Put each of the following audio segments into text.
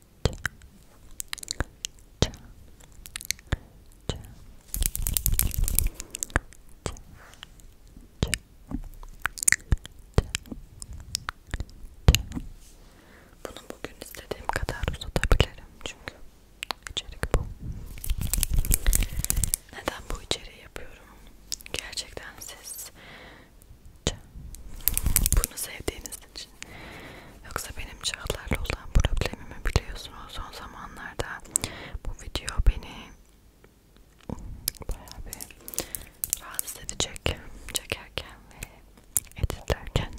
Bunu bugün istediğim kadar uzatabilirim çünkü içerik bu. Neden bu içeriği yapıyorum? Gerçekten siz bunu sevdiğiniz için. Yoksa benim çağlarla olan problemimi biliyorsunuz son zamanlarda bu video beni bayağı bir rahatsız edecek çekerken ve editlerken.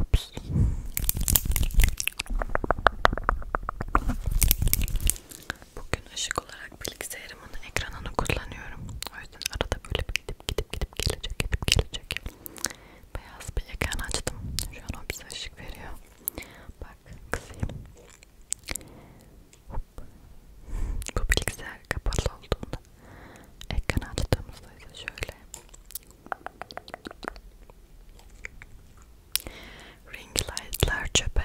Ups. Bugün ışık olarak bilgisayarımın ekranını kullanıyorum. O yüzden arada böyle gidip gidip gidip gelecek gidip gelecek. Beyaz bir ekran açtım. Şu an o bize ışık veriyor. Bak kısayım. Hop. Bu bilgisayar kapalı olduğunda ekran açtığımızda ise şöyle ring light'lar çöpe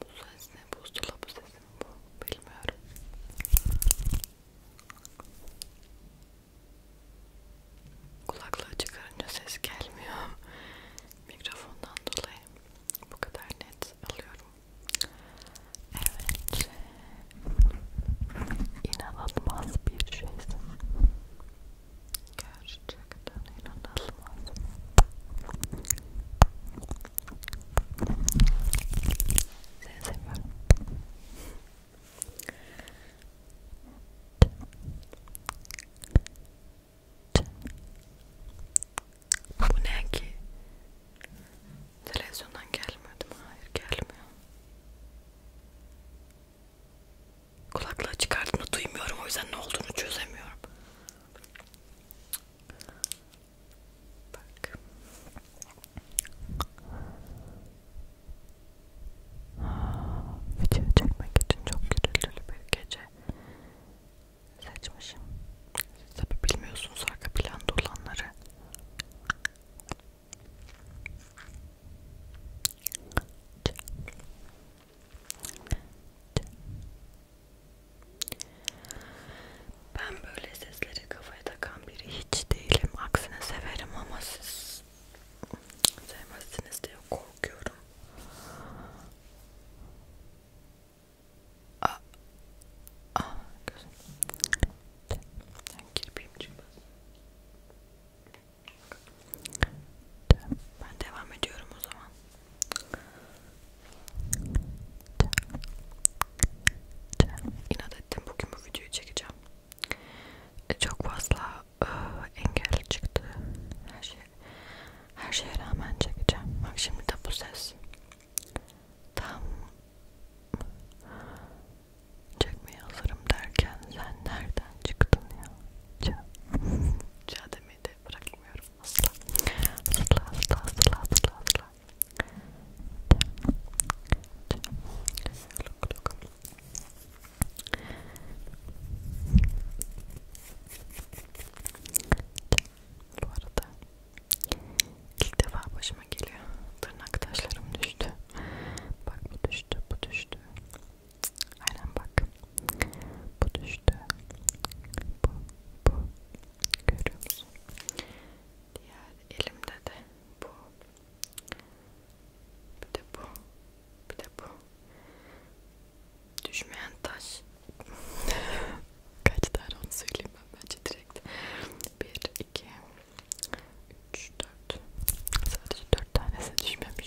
Bu ses ne? Buzdolabı sesi mi bu? Bilmiyorum. Kulaklığı çıkarınca ses gelmiyor. Mikrofondan dolayı bu kadar net alıyorum. Evet. İnanılmaz bir şeysin. Gerçekten inanılmaz. Seni seviyorum. Bu ne ki? Televizyondan gelmedi mi? Hayır gelmiyor. Kulaklığı çıkardığını duymuyorum o yüzden ne olduğunu çözemiyorum. Bak. Video çekmek için çok gürültülü bir gece seçmişim. Siz tabi bilmiyorsunuz arka planda olanları. Ben böyle sesleri kafaya takan biri hiç değilim. Aksine severim ama siz sevmezsiniz diye korkuyorum. Aa, aa gözüm. Ben kirpiyim çıkmaz. Ben devam ediyorum o zaman. İnat ettim bugün bu videoyu çekeceğim. E, çok fazla ıı, engel çıktı. Her şey her şeye rağmen çekeceğim. Bak şimdi de bu ses tam çekmeye hazırım derken sen nereden çıktın ya? ça ça demeyi de bırakmıyorum asla asla asla asla asla asla bu arada ilk defa başıma geliyor tırnak taşlarım düştü bak bu düştü bu düştü Aynen bak. Bu düştü. Bu, bu. Görüyor musun? Diğer elimde de bu. Bir de bu. Bir de bu. Düşmeyen taş. Kaç tane onu söyleyeyim ben bence direkt. 1, 2, 3, 4. Sadece 4 tanesi düşmemiş.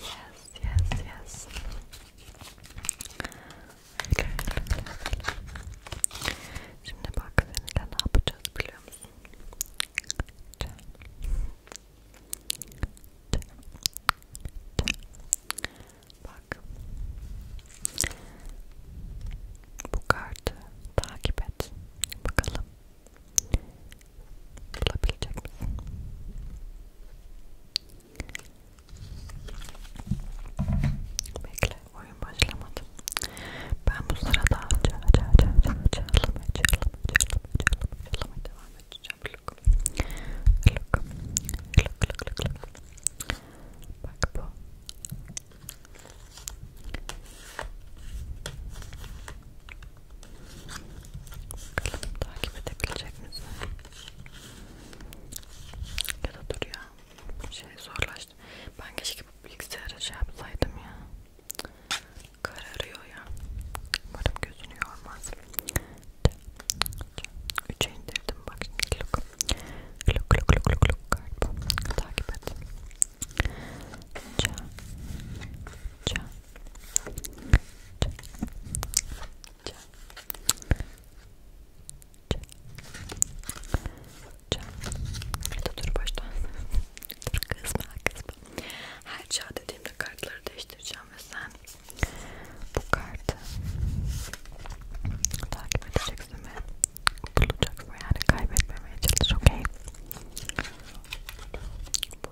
Yes, yes, yes. Okay. Şimdi bak seninle ne yapacağız biliyor musun? Çay. Çay. Çay. Bak. Bu kartı takip et. Bakalım Flopple checks. Bekle, oyun başlamadı. Ben bu sırada çağla çağla çağla çağlamaya çağlamaya Bakalım takip edebilecek misin? Ya da dur ya. Şey zorlaştı. Ben keşke bilgisayara şey yapsaydım ya. Kararıyor ya. Umarım gözünü yormaz. Üçe indirdim bak şimdi. Look. Look look look look look. Takip et. Can. Can. Dur baştan. Dur kızma kızma. Her çağ dediğimde kartları değiştireceğim ve sen bu kartı takip edeceksin ve bulacaksın yani kaybetmemeye çalış okey. Bu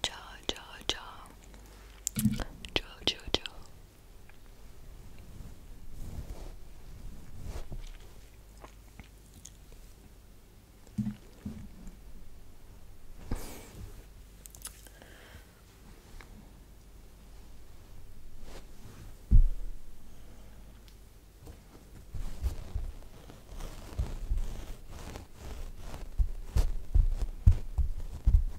Joe, Joe, Joe. Joe, Joe, Joe.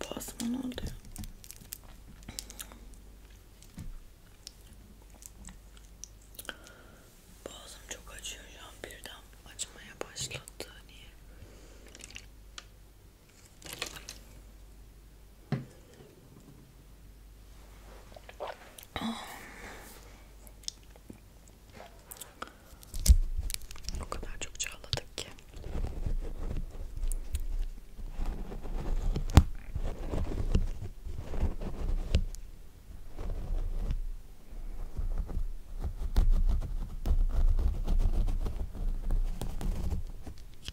Boğazıma ne oldu Boğazım çok acıyor şu an birden açmaya başladı niye? O kadar çok çağladık ki.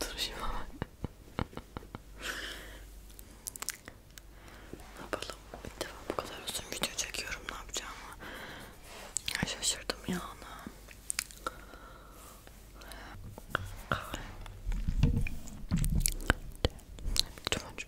Duruşuma bak. ne yapalım? İlk defa bu kadar uzun video çekiyorum. Ne yapacağımı şaşırdım ya ana. Lütfen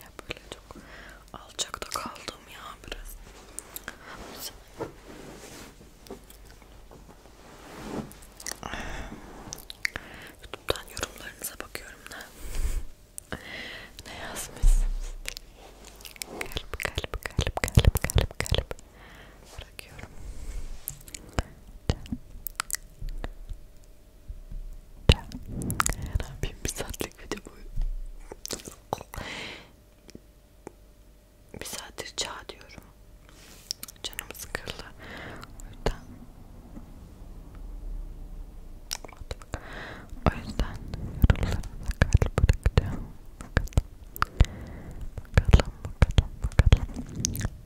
Ya böyle çok alçakta kaldım ya biraz. YouTube'dan yorumlarınıza bakıyorum da ne yazmışsınız? Kalp kalp kalp kalp kalp kalp bırakıyorum. Ne yapayım bir saatlik video bu. Bir saattir çağ diyorum. Canım sıkıldı. O yüzden o yüzden yorumlarınıza kalp bırakacağım. Bakalım. Bakalım bakalım bakalım.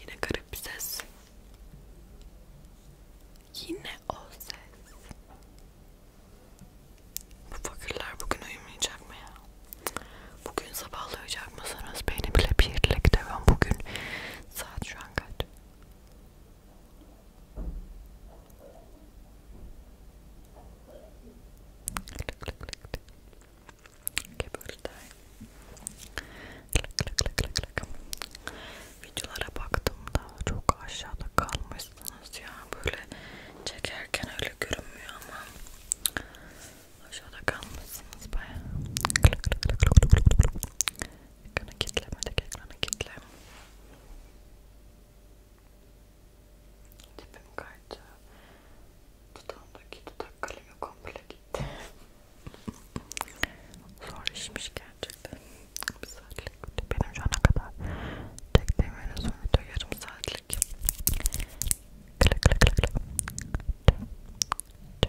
Yine garip bir ses. Yine o ses. Bu fakirler bugün uyumayacak mı ya? Bugün sabahlayacak mısınız? Beni bile birlikte ben bugün Saat şu an kaç? Lık lık lık lık. Okay, böyle daha iyi. Lık lık lık lık lık. Videolara baktığımda çok aşağıda kalmışsınız ya. Böyle çekerken öyle görünmüyor ama Aşağıda kalmışsınız bayağı. Ekranı kitlemedik, ekranı kitle. Tipim kaydı. Dudağımdaki dudak kalemi komple gitti. Zor işmiş gerçekten. Bir saatlik benim şu ana kadar çektiğim en uzun video yarım saatlik. Klik klik klik. Tı, tı,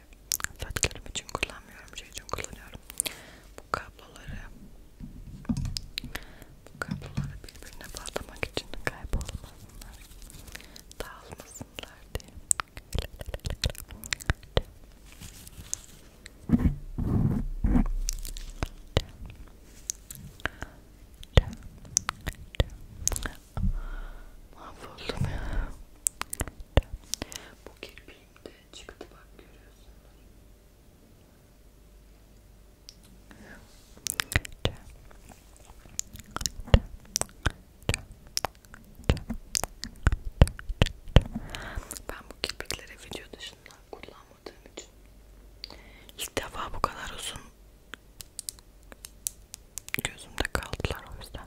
saç kremi için kullanmıyorum şey için kullanıyorum bu kabloları bu kabloları birbirine bağlamak için kaybolmasınlar dağılmasınlar diye Mahvoldum ya. Bu kirpiğim de çıktı bak görüyorsunuz. Ben bu kirpikleri video dışında kullanmadığım için ilk defa bu kadar uzun gözümde kaldılar o yüzden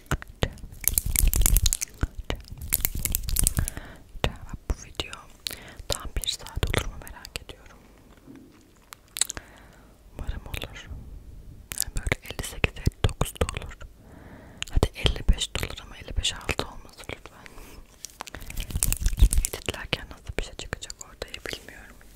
bu video tam bir saat olur mu merak ediyorum. Umarım olur. Yani böyle 58 59 da olur. Hadi 55 dolar ama 55 altı olmasın lütfen. Editlerken nasıl bir şey çıkacak ortaya bilmiyorum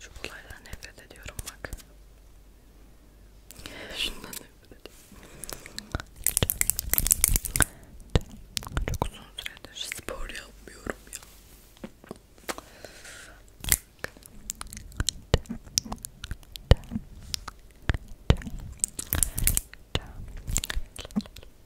Şu olaydan nefret ediyorum bak. Şundan nefret ediyorum. Çok uzun süredir spor yapmıyorum ya. Çok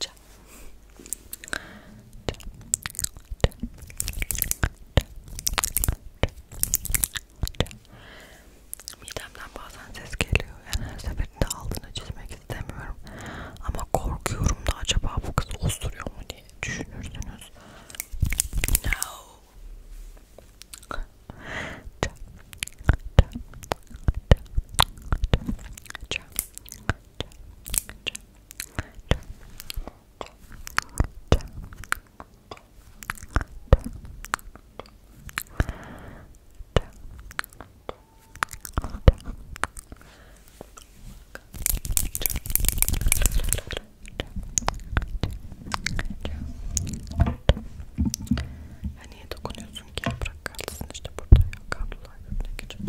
Çap. Çap. Çap. Midemden bazen ses geliyor. Yani her seferinde altını çizmek istemiyorum. Ama korkuyorum da acaba bu kız osuruyor mu diye düşünürsünüz. No. Çap. Çap. Çap. Çap. Ya niye dokunuyorsun ki? Bırak kalsın işte burada ya kablolar birbirine geçiyor.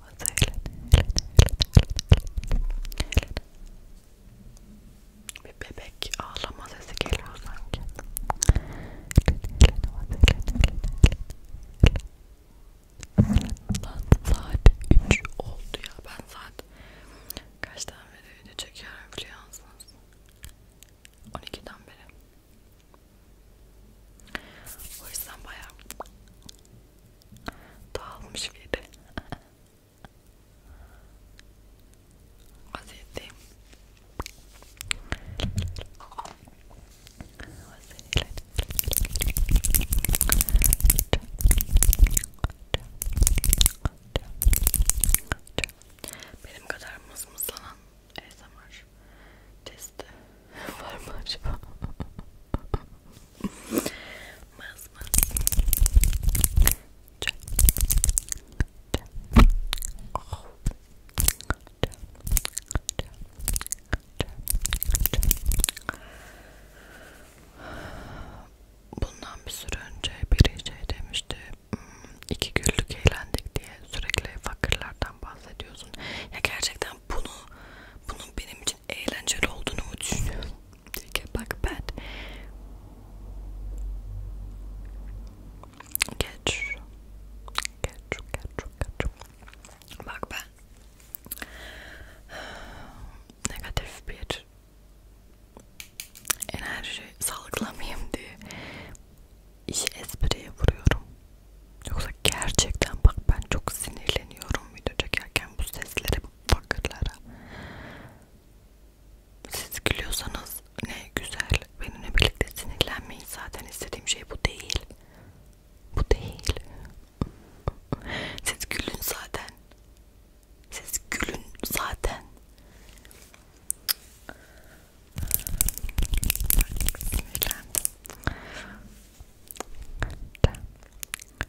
Hadi eğlen, eğlen, eğlen, eğlen. Bir bebek ağlama sesi geliyor sanki. Lan saat 3 oldu ya. Ben saat kaç tane video çekiyorum biliyor musunuz? 12'den beri. O yüzden bayağı Dağılmış biri. Vaziyetteyim. Vaziyetler. Benim kadar mızmızlanan ASMR testi var mı acaba? Mız mız. Çöp. Çöp. Oh. Çöp. Çöp. Çöp. Çöp. Bundan bir süre önce biri şey demişti hmm, iki güllük eğlendik diye sürekli fakirlerden bahsediyorsun ya gerçekten bunu bunun benim için eğlenceli olduğunu mu düşünüyorsun? Bak ben geç geç geç geç bak ben negatif bir enerji salgılamayayım diye işi espriye vuruyorum yoksa gerçekten bak ben çok sinirleniyorum video çekerken bu seslere fakirlere. Siz gülüyorsanız ne güzel. Benimle birlikte sinirlenmeyin. Zaten istediğim şey bu değil. Bu değil. Siz gülün zaten. Siz gülün zaten. Sinirlendim.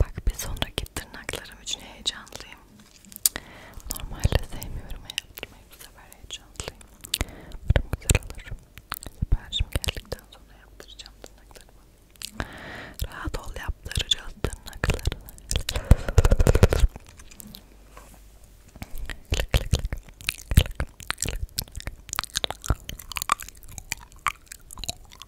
Bak bir sonraki tırnaklarım için heyecanlıyım. Normalde sevmiyorum yaptırmayı bu sefer heyecanlıyım. Umarım güzel olur. Siparişim geldikten sonra yaptıracağım tırnaklarımı. Rahat ol yaptıracağız tırnaklarını. Klik klik klik. Klik klik.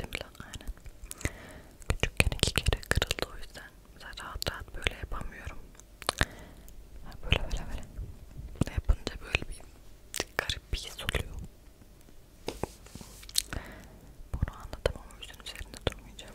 Değil mi lan? Aynen. Küçükken iki kere kırıldı o yüzden. Zaten rahat rahat böyle yapamıyorum. Böyle böyle böyle. Yapınca böyle bir garip bir his oluyor. Bunu anlatamam o yüzden üzerinde durmayacağım.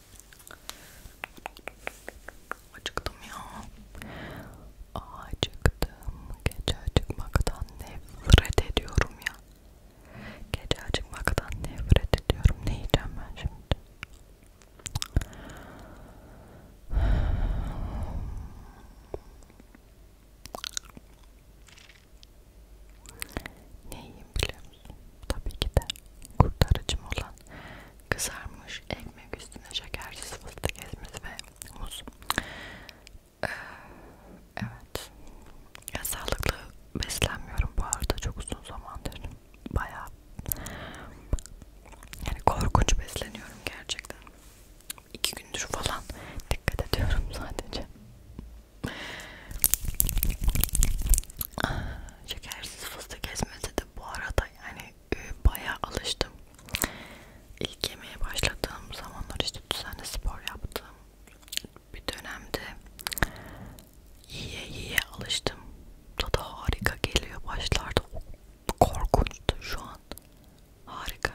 Acıktım ya. Acıktım. Gece acıkmaktan nefret ediyorum ya. Gece acıkmaktan nefret ediyorum. Ne yiyeceğim ben şimdi? Ne yiyeyim bile. Tabii ki de kurtarıcım olan kızarmış ekmek üstüne şekersiz fıstık ezmesi ve muz. Ee, evet. Ya, sağlıklı beslenmiyorum bu arada çok uzun zamandır. Bayağı yani korkunç besleniyorum gerçekten. İki gündür falan dikkat ediyorum sadece. Ah şekersiz fıstık ezmesi de bu arada yani e, bayağı alıştım. İlk yemeğe başladığım zamanlar işte düzenli spor yaptım. Bir dönemde yiye yiye alıştım. Tadı harika geliyor başlarda. Korkunçtu şu an. Harika.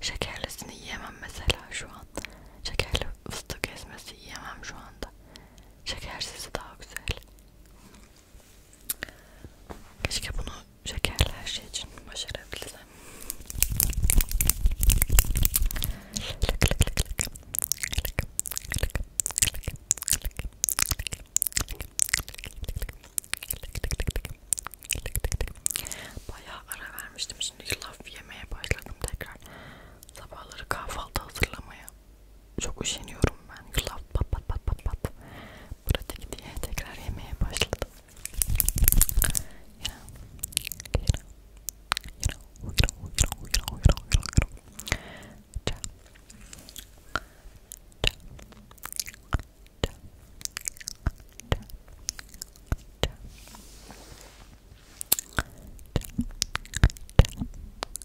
Şekerlisini yiyemem mesela şu an. Şekerli fıstık ezmesi yiyemem şu anda. Şekersizi daha güzel. Keşke bunu şekerli her şey için başarabilsem. Bayağı ara vermiştim. Şimdi yulaf yemeye başladım tekrar. Sabahları kahvaltı hazırlamaya çok üşeniyorum ben yulaf pat pat pat pat pat pratik diye tekrar yemeye başladım yine yine yine uyurum uyurum uyurum uyurum uyurum çay çay çay çay çay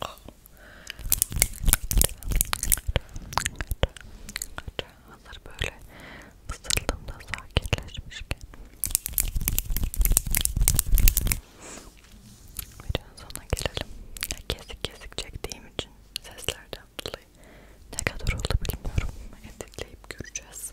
Hazır böyle ısırdığımda sakinleşmişken videonun sonuna gelelim. Kesik kesik çektiğim için seslerden dolayı ne kadar oldu bilmiyorum. Editleyip göreceğiz.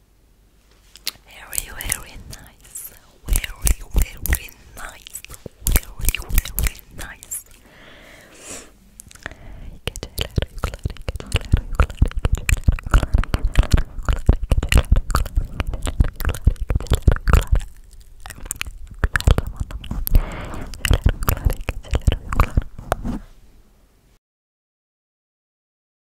very, very nice. Very, very nice. Very, very nice.